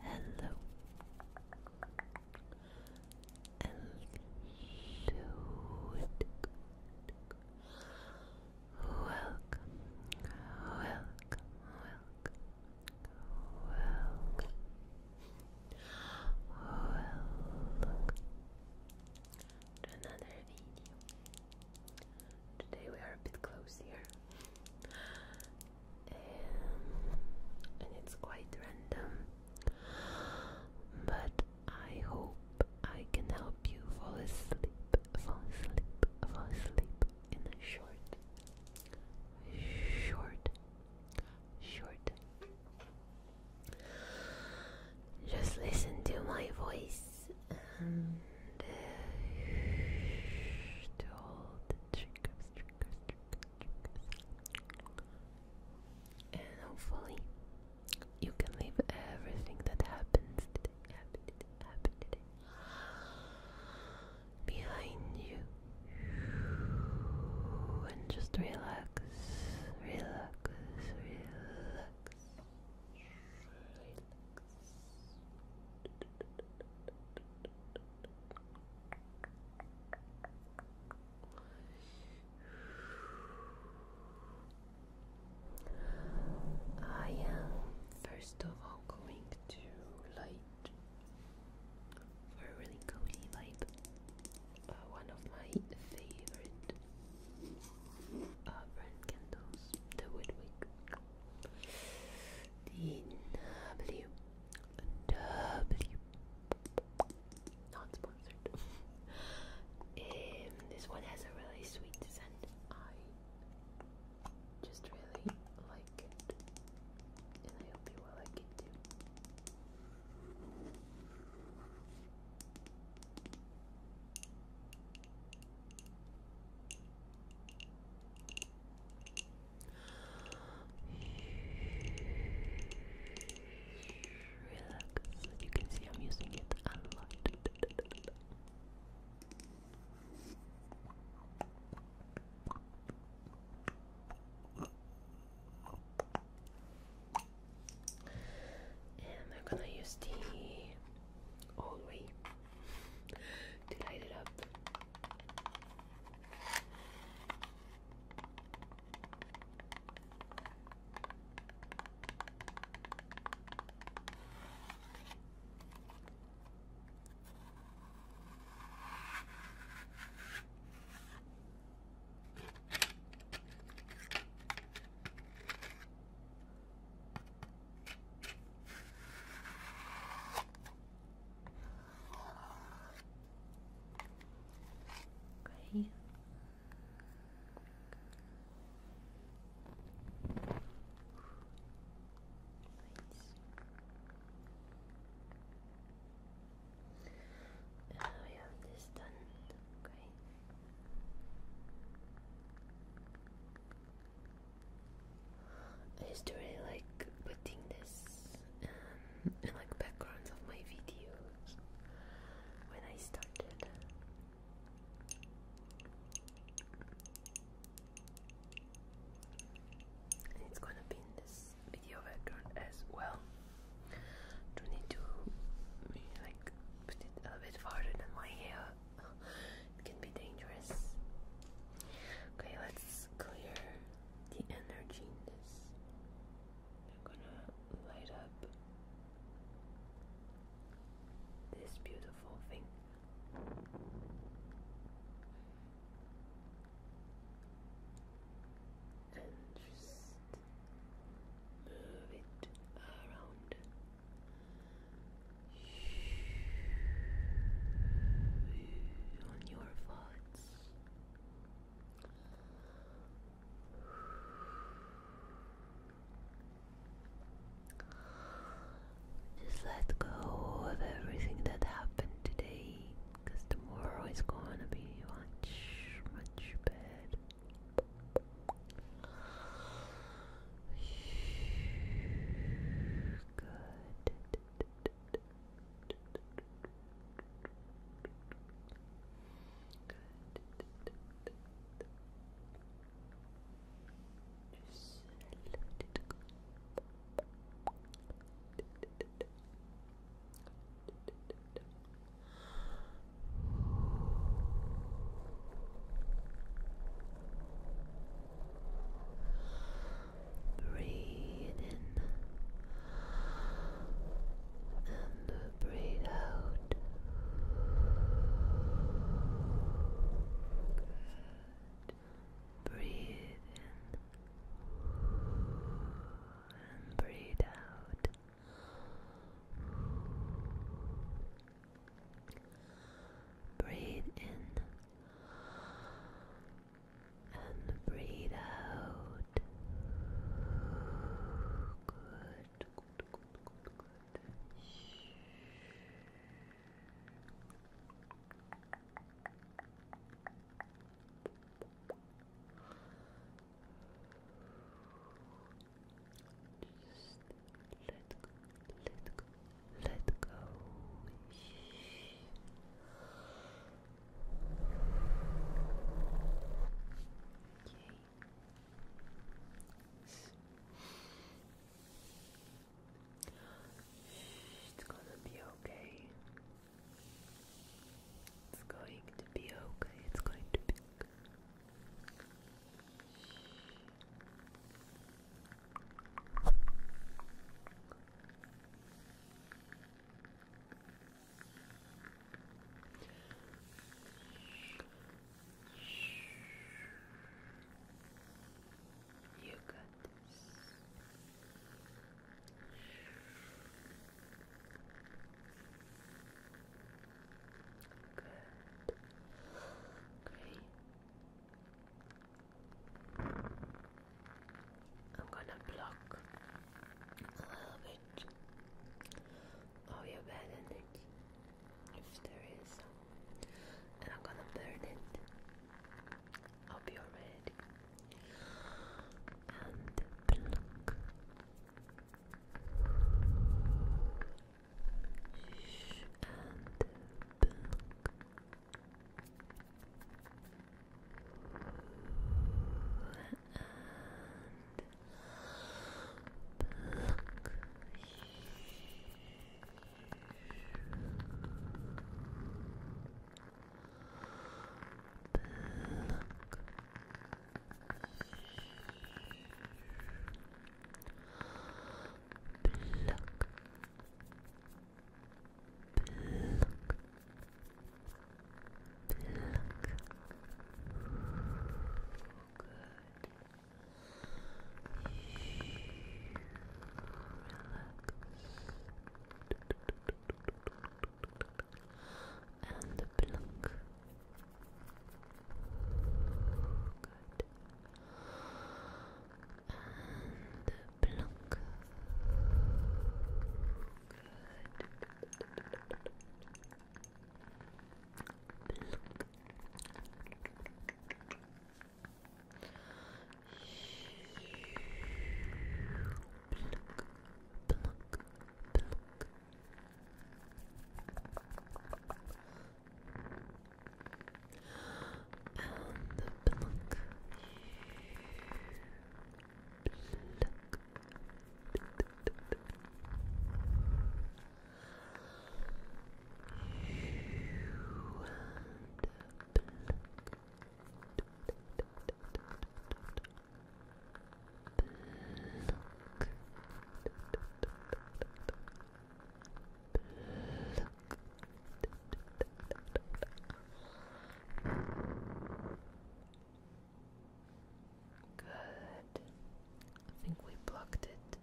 Hello, hello, hello. Welcome, welcome, welcome, welcome. Welcome to another video. Today we are a bit close here, um, and it's quite random. But I hope I can help you fall asleep, fall asleep, fall asleep in a short, short, short just listen to my voice and uh, to all the triggers, and hopefully you can leave everything that happens today behind you and just relax, relax, relax. I am first of all going to light a really cozy vibe, uh, one of my favorite brand candles, the Woodwick, the not sponsored. Um, this one has a really sweet scent. I just really like it, and I hope you like it too. Relax. you can see, I'm using it a lot. And I'm gonna use the old way to light it up. Okay. Right. we have this done. Okay. I used to really like putting this um, in like backgrounds of my videos when I started. And it's gonna be in this video background as well do need to like put it a bit farther than my hair. It can be dangerous. Okay, let's clear the energy in this. gonna light up this beautiful thing. And just move it around. On your thoughts, just let go of everything that happened today because tomorrow is gonna be much, much better. Good. Good. Just let it go. Breathe in and breathe out. Good. Breathe in and breathe out. Breathe in and breathe out. Good, just let let let go. Okay. It's gonna be okay. It's going to be okay. It's going to be okay. You got this. Great. I'm gonna block a little bit of oh, your bad energy if there is and I'm gonna burn it. Hope you're and pluck. Shh, and pluck. And pluck. Shh. Pluck. Pluck. Pluck. Pluck. Good. Relax and plunk. Good. And plunk. Good. Pluck, pluck. And the pluck. You and pluck. Look. Look. Good. I think we blocked it.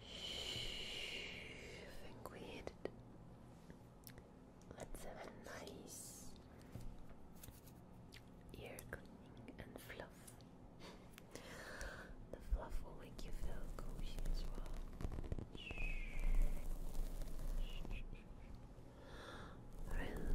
I think we hit it. Let's have a nice ear cleaning and fluff. the fluff will make you feel cozy as well. Relax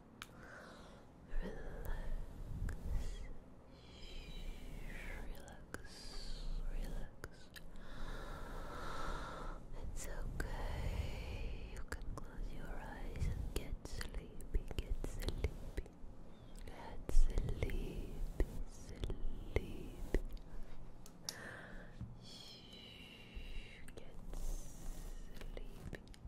relax. It's okay. You can close your eyes and get sleepy, get sleepy, get sleepy, sleepy. get sleepy.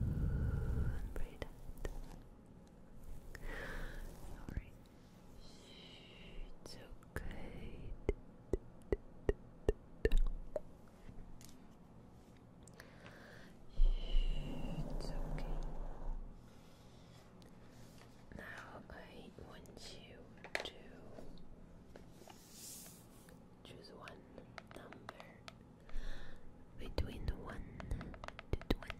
And breathe out. Alright. It's okay. It's okay. Now I want you to Choose one number between 1 to 20.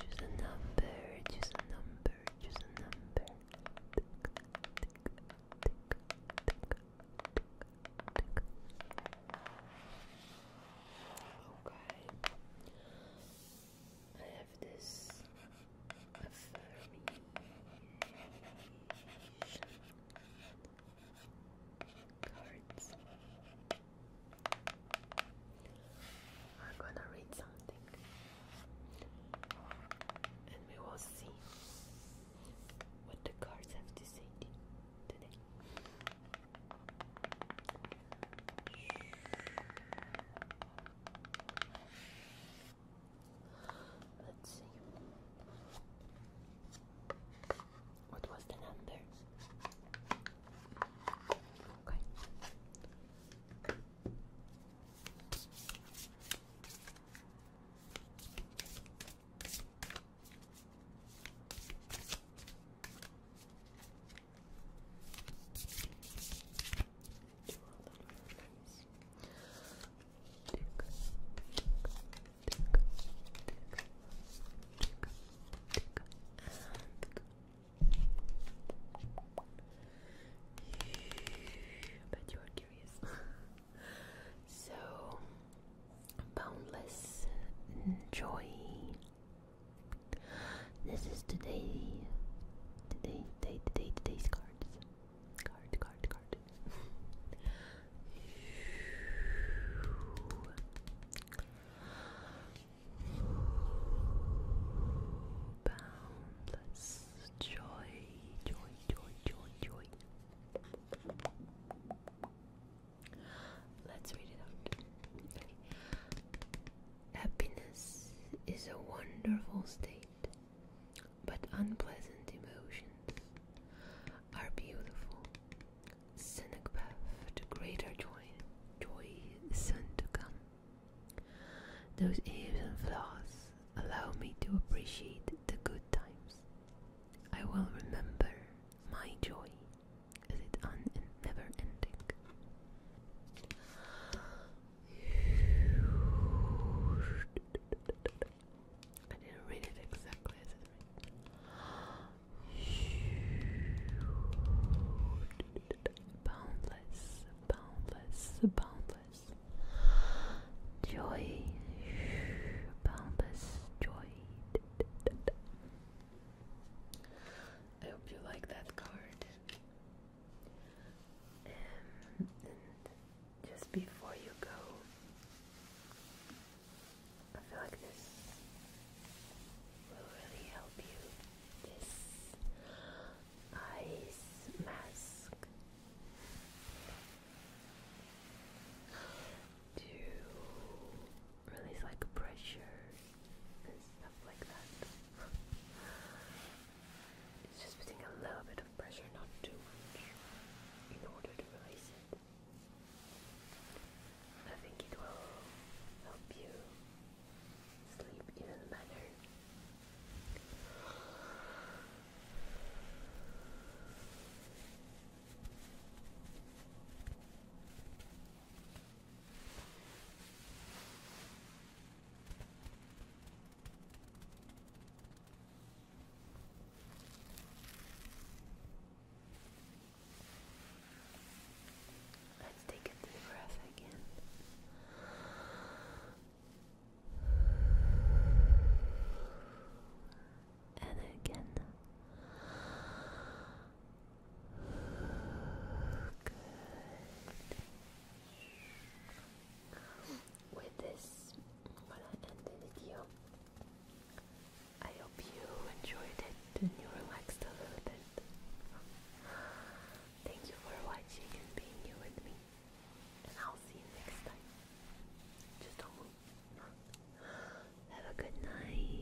Choose a number, choose a number, choose a number. Okay. I have this affirmation cards. We're gonna read something and we will see what the cards have to say today. Let's see. What was the number? Okay. I bet you are curious. so, boundless joy. This is today, today, today, today, today's cards. Card, card, card. Boundless joy, joy, joy, joy, joy. Let's read it out. Happiness is a wonderful state but unpleasant emotions are beautiful. Cynic path to greater joy, joy soon to come. Those eves and flaws allow me to appreciate the good times. I will remember my joy as it never ending. I didn't read it exactly as it's written. Boundless, boundless, boundless joy, boundless joy. I hope you like that card. Um, just before you go. I feel like this will really help you. This ice mask to release like pressure and stuff like that. It's just putting a little bit of pressure, not too much, in order to release it. I think it will help you sleep even better. Let's take a deep breath again. And again. Good with this, i end the video. I hope you enjoyed it and you relaxed a little bit. Thank you for watching and being here with me. And I'll see you next time. Just don't move. Have a good night.